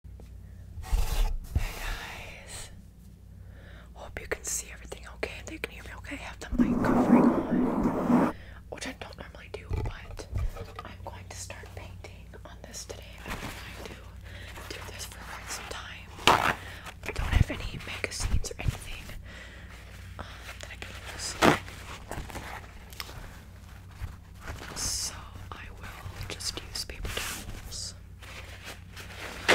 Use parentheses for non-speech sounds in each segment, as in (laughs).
Hey guys, hope you can see everything okay and can hear okay. I have the mic covering on, which I don't normally do, but I'm going to start painting on this today. I've been trying to do this for quite some time. I don't have any magazines or anything um, that I can use. So I will just use paper towels. Uh,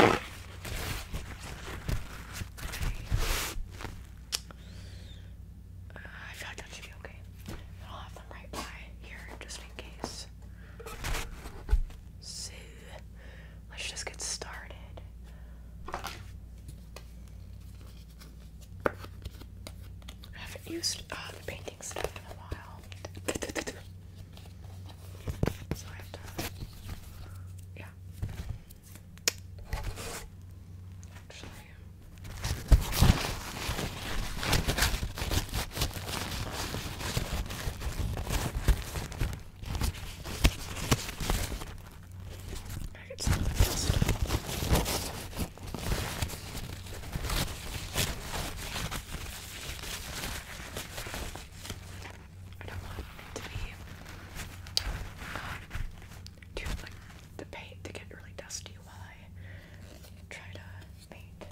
I feel like that should be okay. I'll have them right by here just in case. So let's just get started. haven't used uh, the painting stuff in a while. (laughs) So I have to, yeah. Actually, I could still adjust it. I don't want to be um, the paint to get really dusty while I try to paint.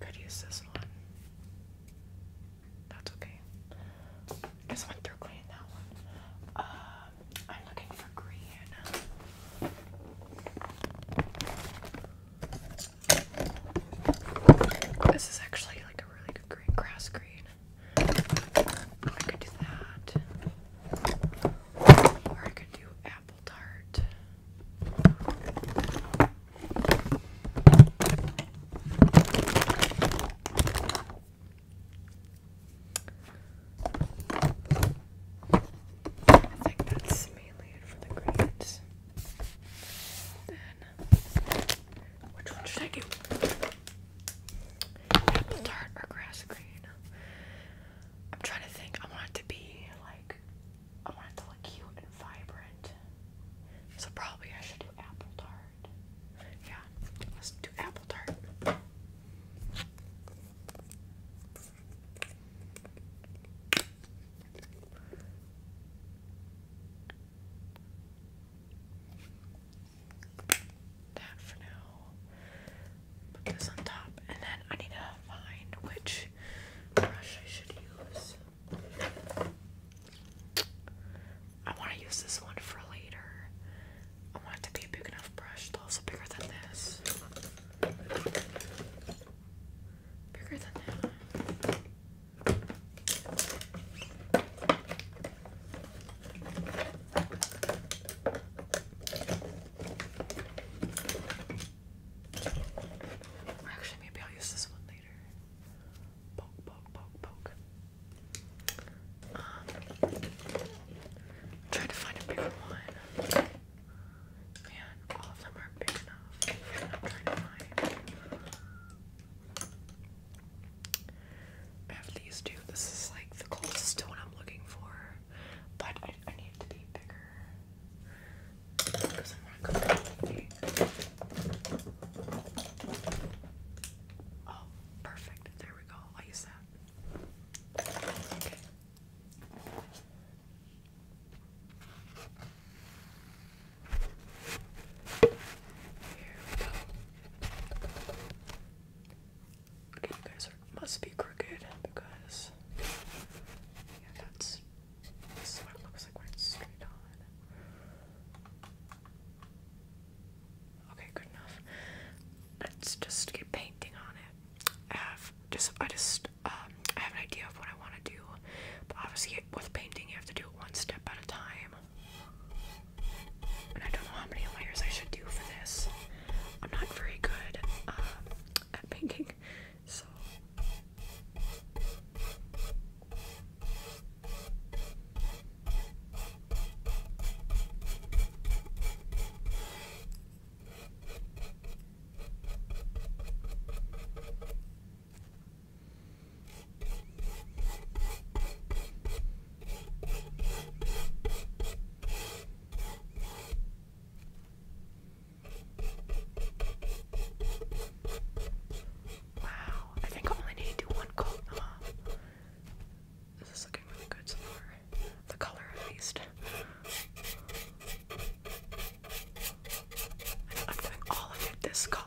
Could use this one. That's okay. This one through clean that one. Uh, I'm looking for green. This is actually like a really good green grass green. I could do that. Or I could do apple tart. I think that's mainly it for the grades. Then, which one should I do? Apple tart or grass green? I'm trying to think. I want it to be like, I want it to look cute and vibrant. So probably I should do apple tart. Yeah, let's do apple tart. That for now. Put this on top, and then I need to find which brush I should use. I want to use this one for later. I want it to be a big enough brush, though, also bigger than this. Bigger than that. Actually, maybe I'll use this one later. Poke, poke, poke, poke. Um, I'm trying to find a bigger one. Man, all of them are big enough. I'm trying to find. I have these two. This is like the closest one I'm looking for, but I, need it to be bigger because I'm not completely. Oh, perfect. There we go. i use that. Okay. Okay, you guys are, must be crooked because yeah, that's this is what it looks like when it's straight on. Okay, good enough. Let's just keep painting on it have just I just um, I have an idea of what I want to do, but obviously with painting you have to do it one step at a time. And I don't know how many layers I should do for this. I'm not very good um, at painting, so. Wow, I think I only need to do one coat. This is looking really good so far the color at least. I'm doing all of it this color.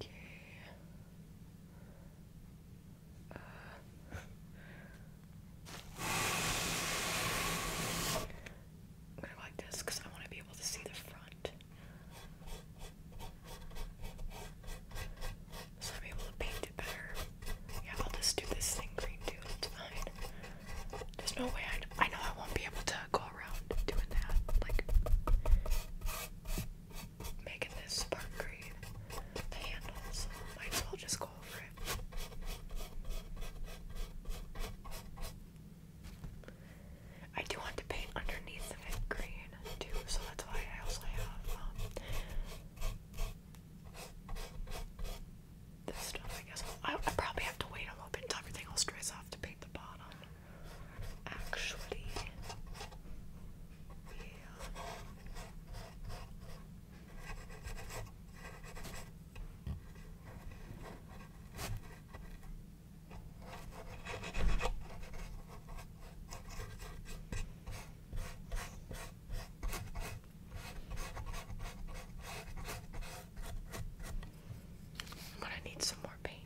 Okay. I'm gonna like this because I want to be able to see the front. So I'm able to paint it better. Yeah, I'll just do this thing green too. It's fine. There's no way I. I know I won't be able to go around doing that, like making this spark green. might as well just go over it. I do want to paint underneath of it green too, so that's why I also have um, this stuff. I guess i probably have to wait a little bit till everything else dries off to paint the bottom actually feel. I'm gonna need some more paint.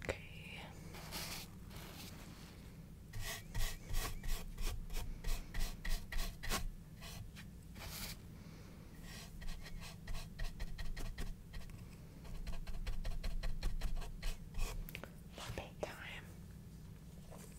Okay. More time.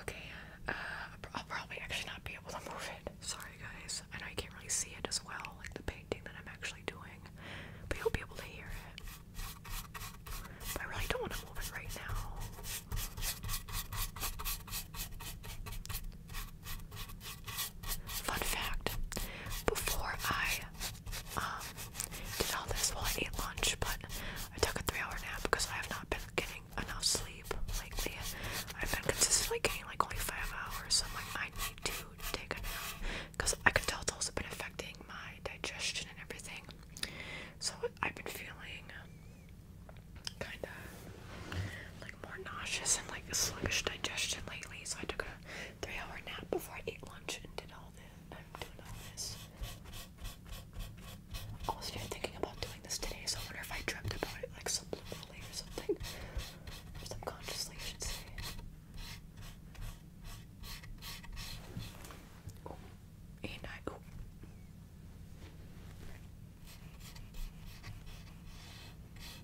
Okay, uh, I'll probably actually not be able to move it. Sorry, guys. I know you can't really see it as well, like the painting that I'm actually doing, but you'll be able to hear it. I really don't want to move it right now. Fun fact before I um, did all this, while I ate lunch, but I took a three hour nap because I have not been getting enough sleep lately. I've been consistently getting like only five hours, so I'm like, I need to take a nap because I can tell it's also been affecting my digestion and everything. So I've been feeling kind of like more nauseous and like sluggish digestion lately, so I took a three-hour nap before I ate lunch and did all this. I'm was thinking about doing this today, so I wonder if I dreamt about it like subliminally or something, or subconsciously, I should say. Oh, and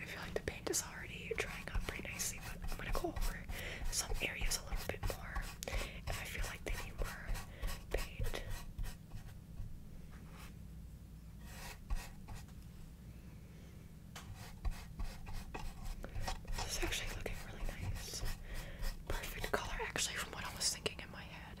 I feel like the paint is already drying up pretty nicely, but I'm gonna go over some areas a little bit more if I feel like they need more paint. This is actually looking really nice. Perfect color, actually, from what I was thinking in my head.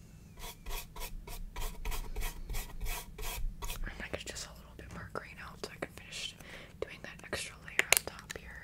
I might get just a little bit more green out so I can finish doing that extra layer on top here.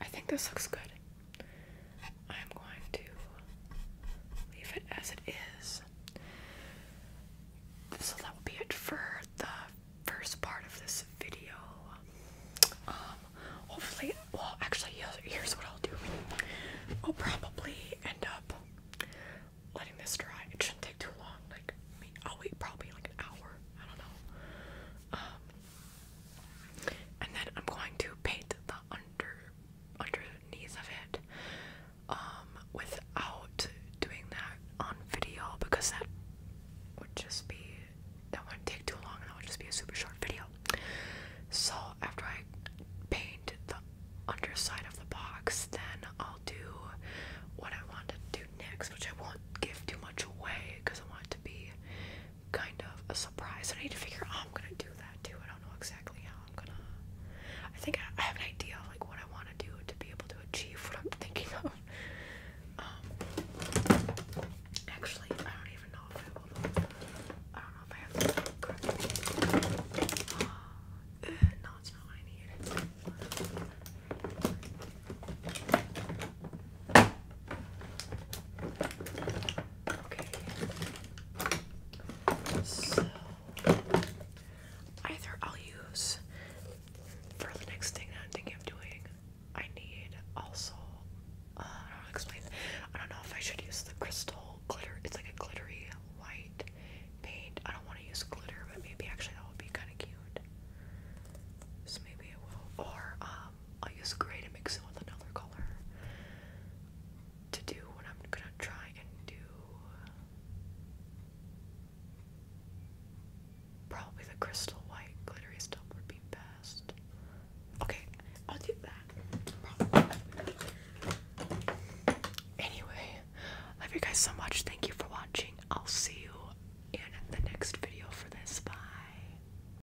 I think this looks good. I'm going to leave it as it is. So that will be it for the first part of this video. Um, hopefully, well, actually, here's what I'll do. I'll probably end up letting this dry. It shouldn't take too long. Like, I will wait probably like an hour. I don't know. Um, and then I'm going to paint the under underneath of it um, without doing that on video because that would just be that would take too long and that would just be a super short video. So after I paint the underside of the box, then I'll do what I want to do next, which I won't give too much away because I want it to be kind of a surprise. I need to figure out I'm gonna do that too. I don't know exactly how I'm gonna. I think I have an idea of like what I want to do to be able to achieve what I'm thinking of. (laughs) Um, actually, I don't even know if I will. I don't know if I have the correct. Uh, eh, not what I need. Okay. So either I'll use for the next thing that I'm thinking of doing, I need also uh, I don't know to explain. I don't know if I should use the crystal glitter. It's like a glittery white paint. I don't want to use glitter, but maybe actually that would be kind of cute. So maybe it will. Or um, I'll use gray to mix it with another color to do what I'm gonna try and do. Probably the crystal white glittery stuff would be best. Okay, I'll do that. Anyway, love you guys so much. Thank you for watching. I'll see you in the next video for this. Bye.